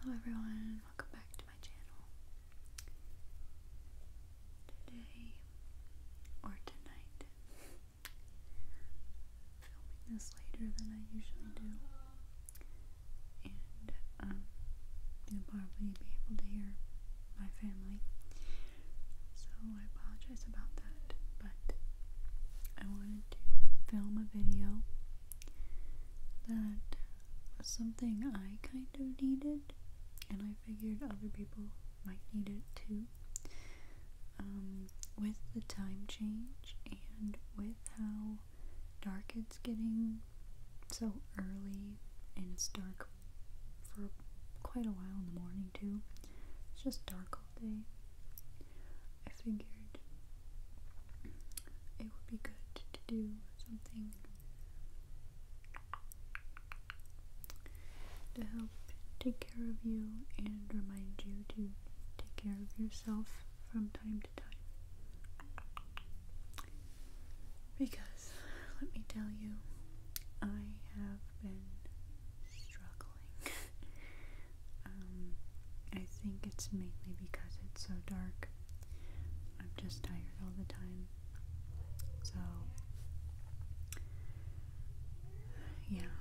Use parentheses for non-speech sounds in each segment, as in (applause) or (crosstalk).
Hello everyone, welcome back to my channel. Today, or tonight, filming this later than I usually do, and um, you'll probably be able to hear my family, so I apologize about that, but I wanted to film a video that was something I kind of needed, and I figured other people might need it too. Um, with the time change and with how dark it's getting so early, and it's dark for quite a while in the morning too. It's just dark all day. I figured it would be good to do something to help take care of you and remind you to take care of yourself from time to time. Because, let me tell you, I have been struggling (laughs) Um, I think it's mainly because it's so dark. I'm just tired all the time. So, yeah,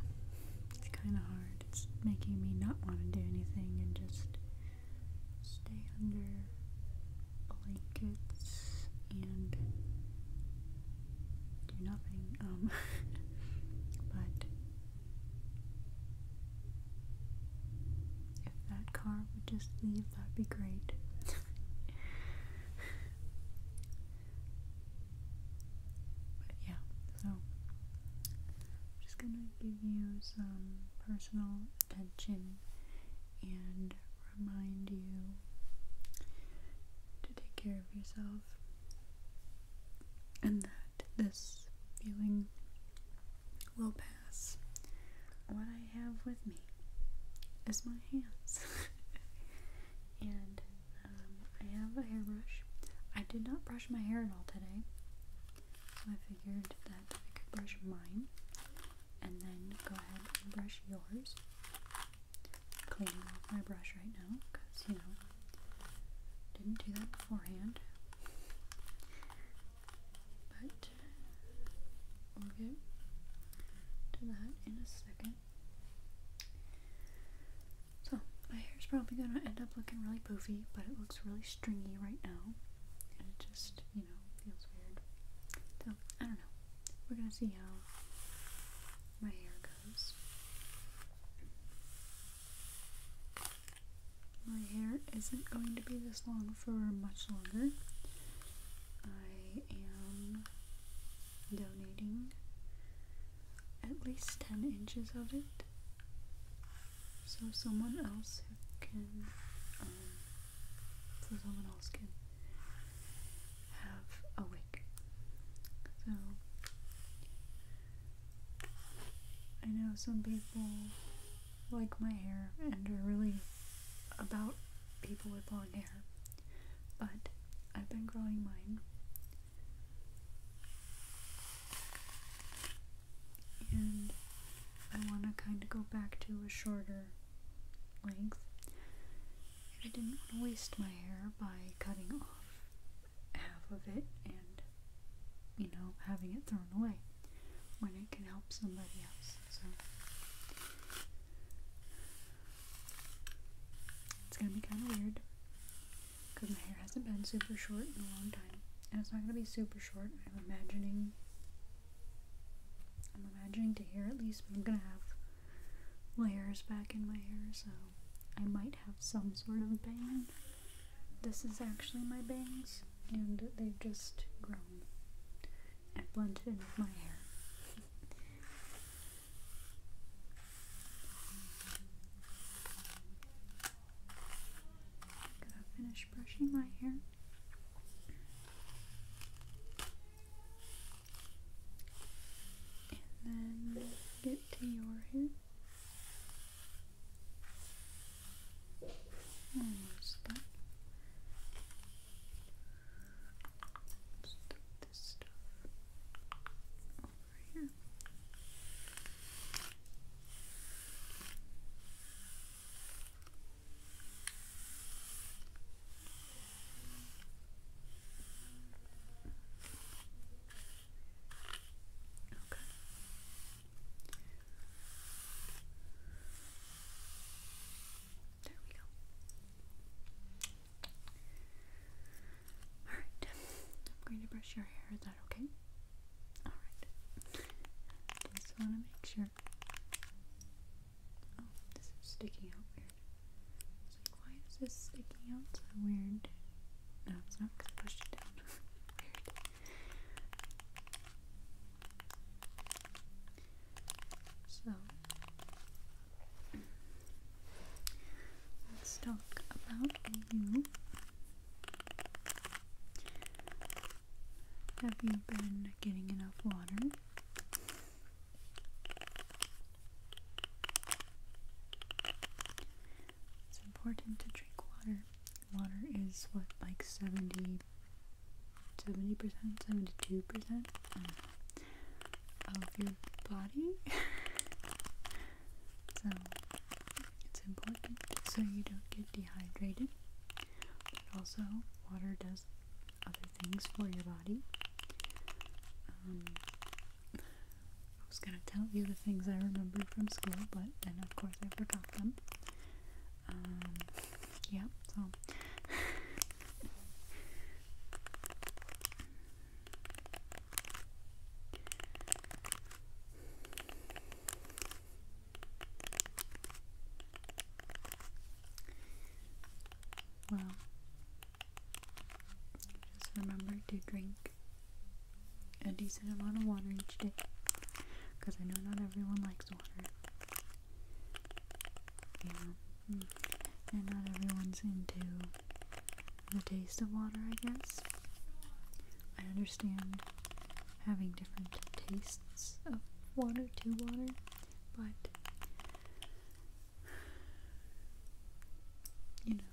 it's kind of hard. It's making me not want to do anything and just stay under blankets and do nothing. Um, (laughs) but if that car would just leave, that'd be great. but yeah, so I'm just gonna give you some personal attention and remind you to take care of yourself and this feeling will pass. What I have with me is my hands. (laughs) and um, I have a hairbrush. I did not brush my hair at all today. I figured that I could brush mine and then go ahead and brush yours. Cleaning off my brush right now because, you know, didn't do that beforehand. But we'll get to that in a second. So, my hair's probably gonna end up looking really poofy, but it looks really stringy right now. And it just, you know, feels weird. So, I don't know. We're gonna see how my hair goes. My hair isn't going to be this long for much longer. I am donating at least 10 inches of it so someone else who can, um, so someone else can have a wig. So I know some people like my hair and are really about people with long hair, but I've been growing mine. And I want to kind of go back to a shorter length. I didn't want to waste my hair by cutting off half of it and, you know, having it thrown away when it can help somebody else. So it's gonna be kind of weird because my hair hasn't been super short in a long time, and it's not gonna be super short. I'm imagining, I'm imagining to hear at least, but I'm gonna have layers back in my hair, so I might have some sort of bang. This is actually my bangs, and they've just grown. I blended in with my hair. (laughs) finish brushing my hair. And then get to your hair. Almost done. Let's this stuff here. Okay. There we go. Alright, I'm going to brush your hair, is that okay? Alright. Just want to make sure. Oh, this is sticking out weird. why is this sticking out so weird? No, it's not because I pushed it down. Weird. (laughs) So, let's talk about you. Have you been getting enough water? It's important to drink water. Water is what, like 70, 70%, 72% uh, of your body. (laughs) so it's important so you don't get dehydrated. But also, water does other things for your body. Um, I was going to tell you the things I remembered from school, but then of course I forgot them. Um, yeah, so. Well, just remember to drink a decent amount of water each day because I know not everyone likes water. Yeah. Hmm. And not everyone's into the taste of water, I guess. I understand having different tastes of water to water, but you know,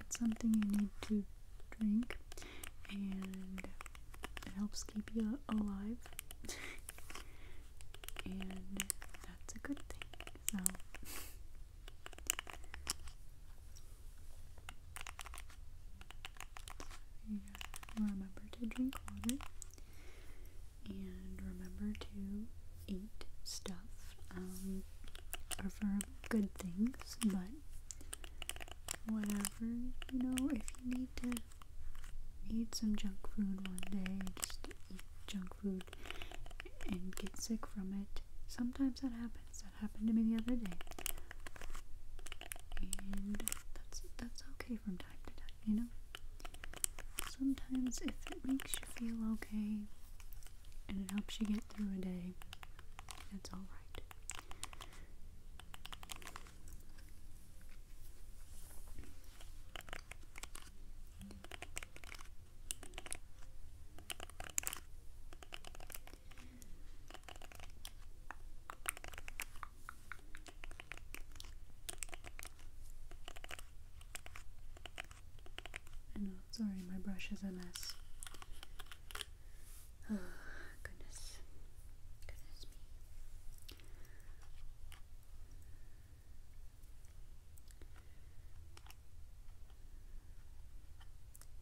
it's something you need to drink and it helps keep you alive (laughs) and that's a good thing so remember to drink water and remember to eat stuff um, are for good things but whatever, you know, if you need to eat some junk food one day, just eat junk food and get sick from it. Sometimes that happens. That happened to me the other day. And that's that's okay from time to time, you know? Sometimes if it makes you feel okay and it helps you get through a day. That's all right. I know, sorry, my brush is a mess. Oh, goodness. Goodness me.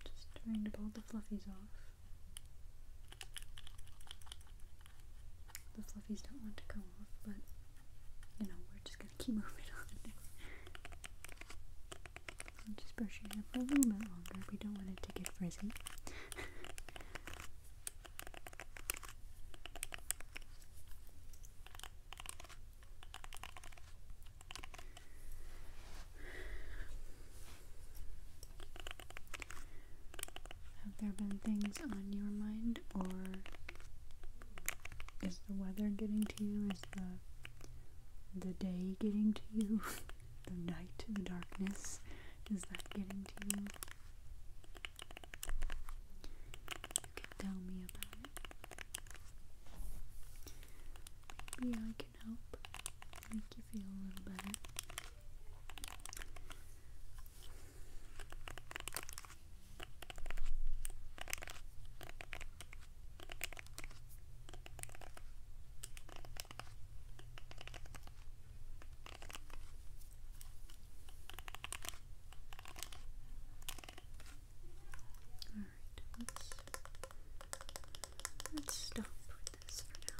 Just trying to pull the fluffies off. The fluffies don't want to come off, but you know, we're just gonna keep (laughs) moving on. I'll just brushing it hair for a little bit longer. We don't want it to get frizzy. Have there been things on your mind, or is the weather getting to you? Is the the day getting to you? (laughs) the night, the darkness. Is that getting to you? You can tell me about it. Maybe I can help make you feel a little better. All right, let's let's stop with this for now.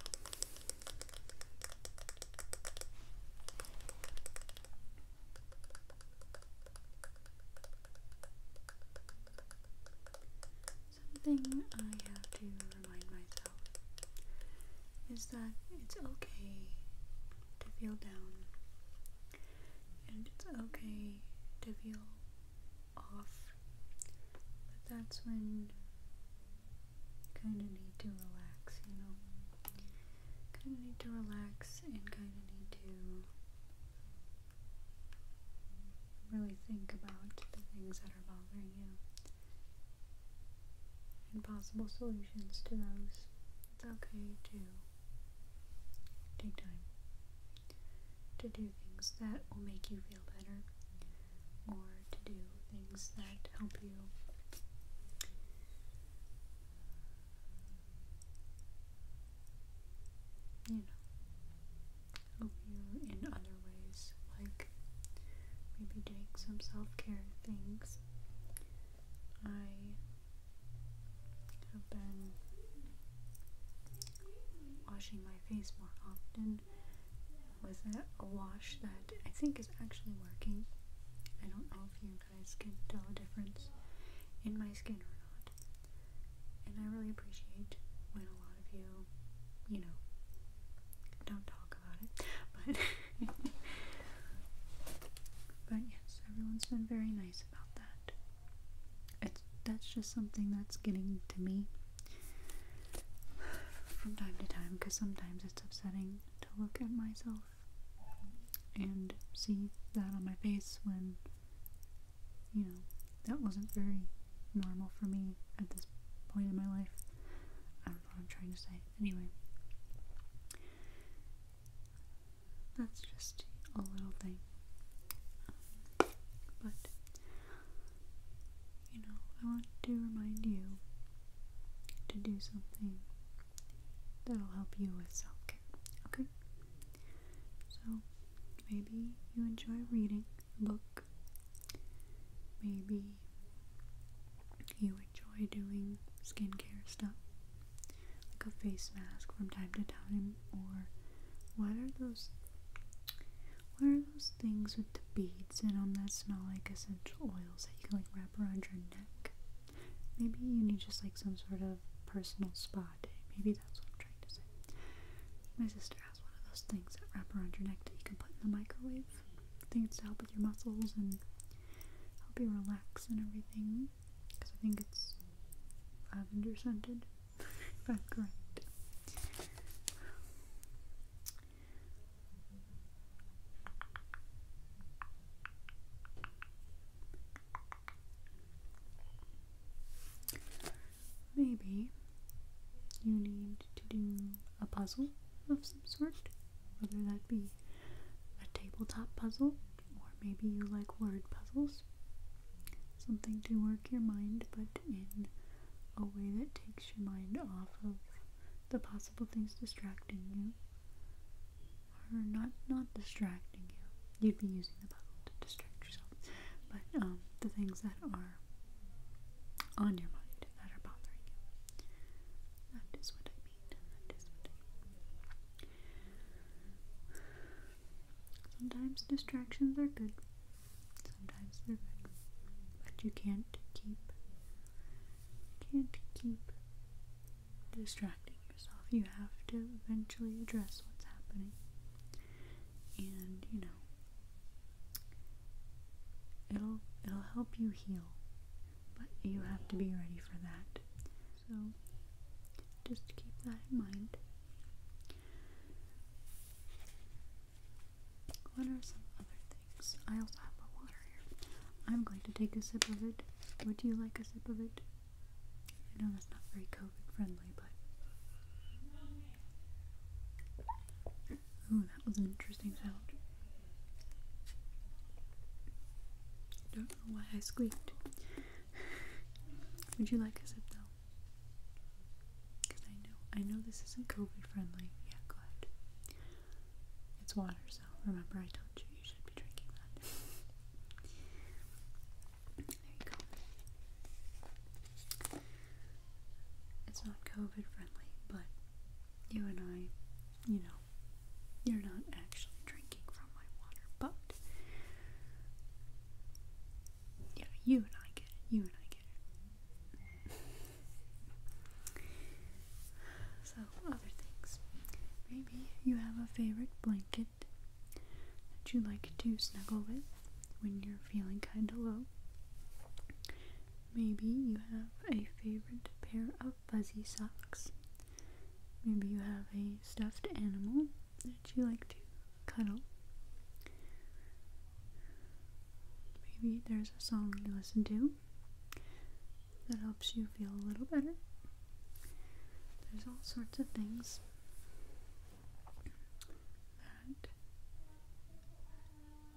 Something I have to remind myself is that it's okay to feel down, and it's okay to feel off, but that's when kind of need to relax, you know? Kind of need to relax and kind of need to Really think about the things that are bothering you and possible solutions to those. It's okay to take time to do things that will make you feel better or to do things that help you you know help you in other ways, like maybe doing some self care things. I have been washing my face more often with a wash that I think is actually working. I don't know if you guys can tell a difference in my skin or not. And I really appreciate when a lot of you, you know, don't talk about it. But (laughs) But yes, everyone's been very nice about that. It's that's just something that's getting to me from time to time because sometimes it's upsetting to look at myself and see that on my face when you know, that wasn't very normal for me at this point in my life. I don't know what I'm trying to say. Anyway, that's just a little thing. but, you know, I want to remind you to do something that'll help you with self care, okay? So, maybe you enjoy reading. Look, Maybe you enjoy doing skincare stuff, like a face mask from time to time, or what are those? What are those things with the beads and on that smell like essential oils that you can like wrap around your neck? Maybe you need just like some sort of personal spa day. Maybe that's what I'm trying to say. My sister has one of those things that wrap around your neck that you can put in the microwave. I think it's to help with your muscles and help you relax and everything. Because I think it's lavender scented, (laughs) if I'm correct maybe you need to do a puzzle of some sort, whether that be a tabletop puzzle or maybe you like word puzzles. Something to work your mind, but in a way that takes your mind off of the possible things distracting you or not not distracting you. You'd be using the puzzle to distract yourself, but um, the things that are on your mind that are bothering you. That is what I mean. That is what I mean. Sometimes distractions are good. Sometimes they're good. But you can't keep can't keep distracting yourself. You have to eventually address what's happening and you know it'll it'll help you heal but you have to be ready for that so just keep that in mind what are some other things i also have a water here i'm going to take a sip of it would you like a sip of it i know that's not very COVID Don't know why I squeaked. Would you like a sip though? Because I know I know this isn't COVID friendly. Yeah, go ahead. It's water, so remember I told you you should be drinking that. (laughs) There you go. It's not COVID friendly, but you and I, you know, you're not actually drinking from my water, but yeah, you and I get it. You and I get it. so, other things. Maybe you have a favorite blanket that you like to snuggle with when you're feeling kinda low. Maybe you have a favorite pair of fuzzy socks. Maybe you have a stuffed animal that you like to cuddle. Maybe there's a song you listen to that helps you feel a little better. There's all sorts of things that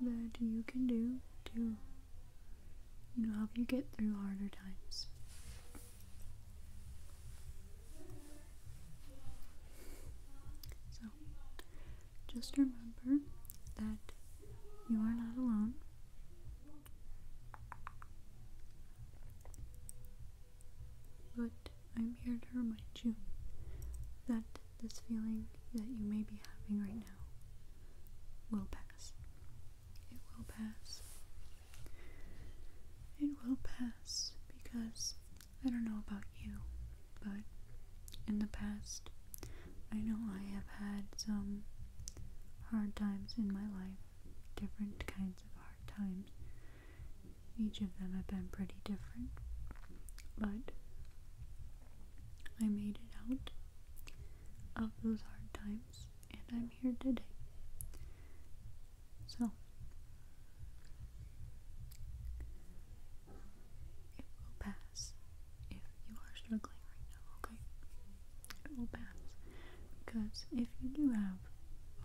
that you can do to help you get through harder times. So just remember that you are not alone. But I'm here to remind you that this feeling that you may be having right now will pass. It will pass. It will pass because I don't know about you, but in the past, I know I have had some hard times in my life, different kinds of hard times each of them have been pretty different, but I made it out of those hard times and I'm here today. So, it will pass if you are struggling right now, okay? It will pass because if you do have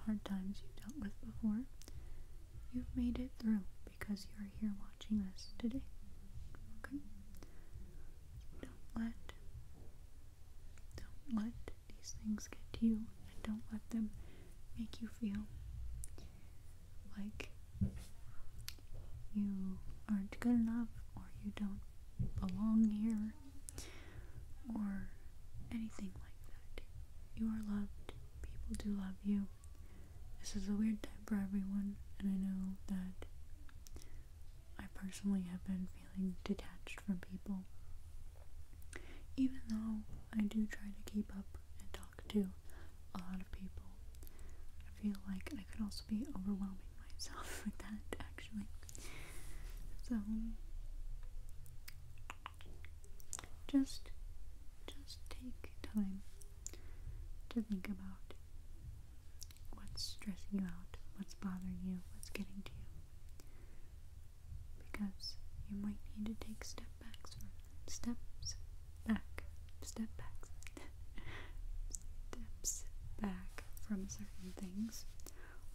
hard times you dealt with before, You've made it through because you're here watching us today. Okay? Don't let don't let these things get to you and don't let them make you feel like you aren't good enough or you don't belong here or anything like that. You are loved. People do love you. This is a weird time for everyone, and I know that I personally have been feeling detached from people. Even though I do try to keep up and talk to a lot of people, I feel like I could also be overwhelming myself (laughs) with that, actually. So, just just take time to think about what's stressing you out, what's bothering you, what's getting to you. Because you might need to take step backs from back. Step backs steps back from certain things.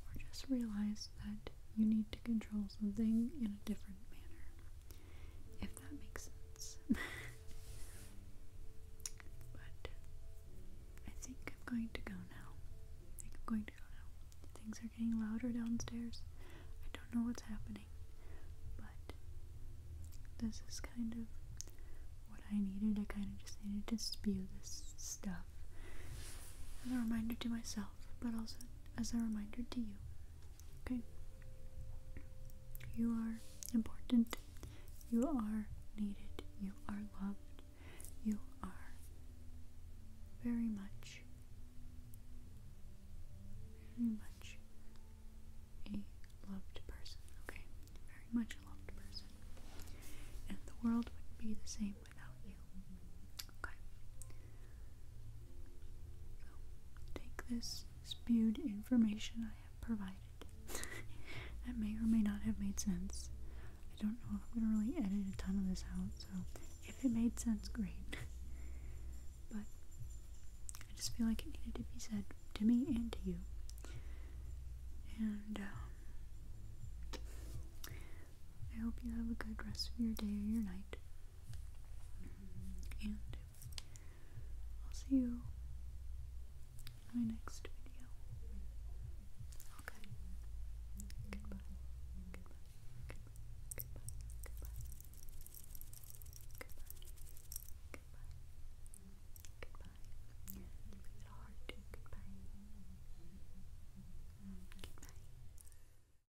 Or just realize that you need to control something in a different manner if that makes sense. (laughs) but I think I'm going to go now. I think I'm going to go now. Things are getting louder downstairs. I don't know what's happening, but this is kind of what I needed. I kind of just needed to spew this stuff as a reminder to myself, but also as a reminder to you Okay? You are important. You are needed. You are loved. You are very much, very much a loved person. Okay? Very much a loved person. And the world wouldn't be the same without you. Okay. take this spewed information I have provided. (laughs) that may or may not have made sense. I don't know if I'm gonna really edit a ton of this out, so if it made sense, great. (laughs) but I just feel like it needed to be said to me and to you. And um, I hope you have a good rest of your day or your night. And I'll see you in my next video. Okay. Goodbye. Goodbye. Goodbye. Goodbye. Goodbye. Goodbye. Goodbye. Goodbye.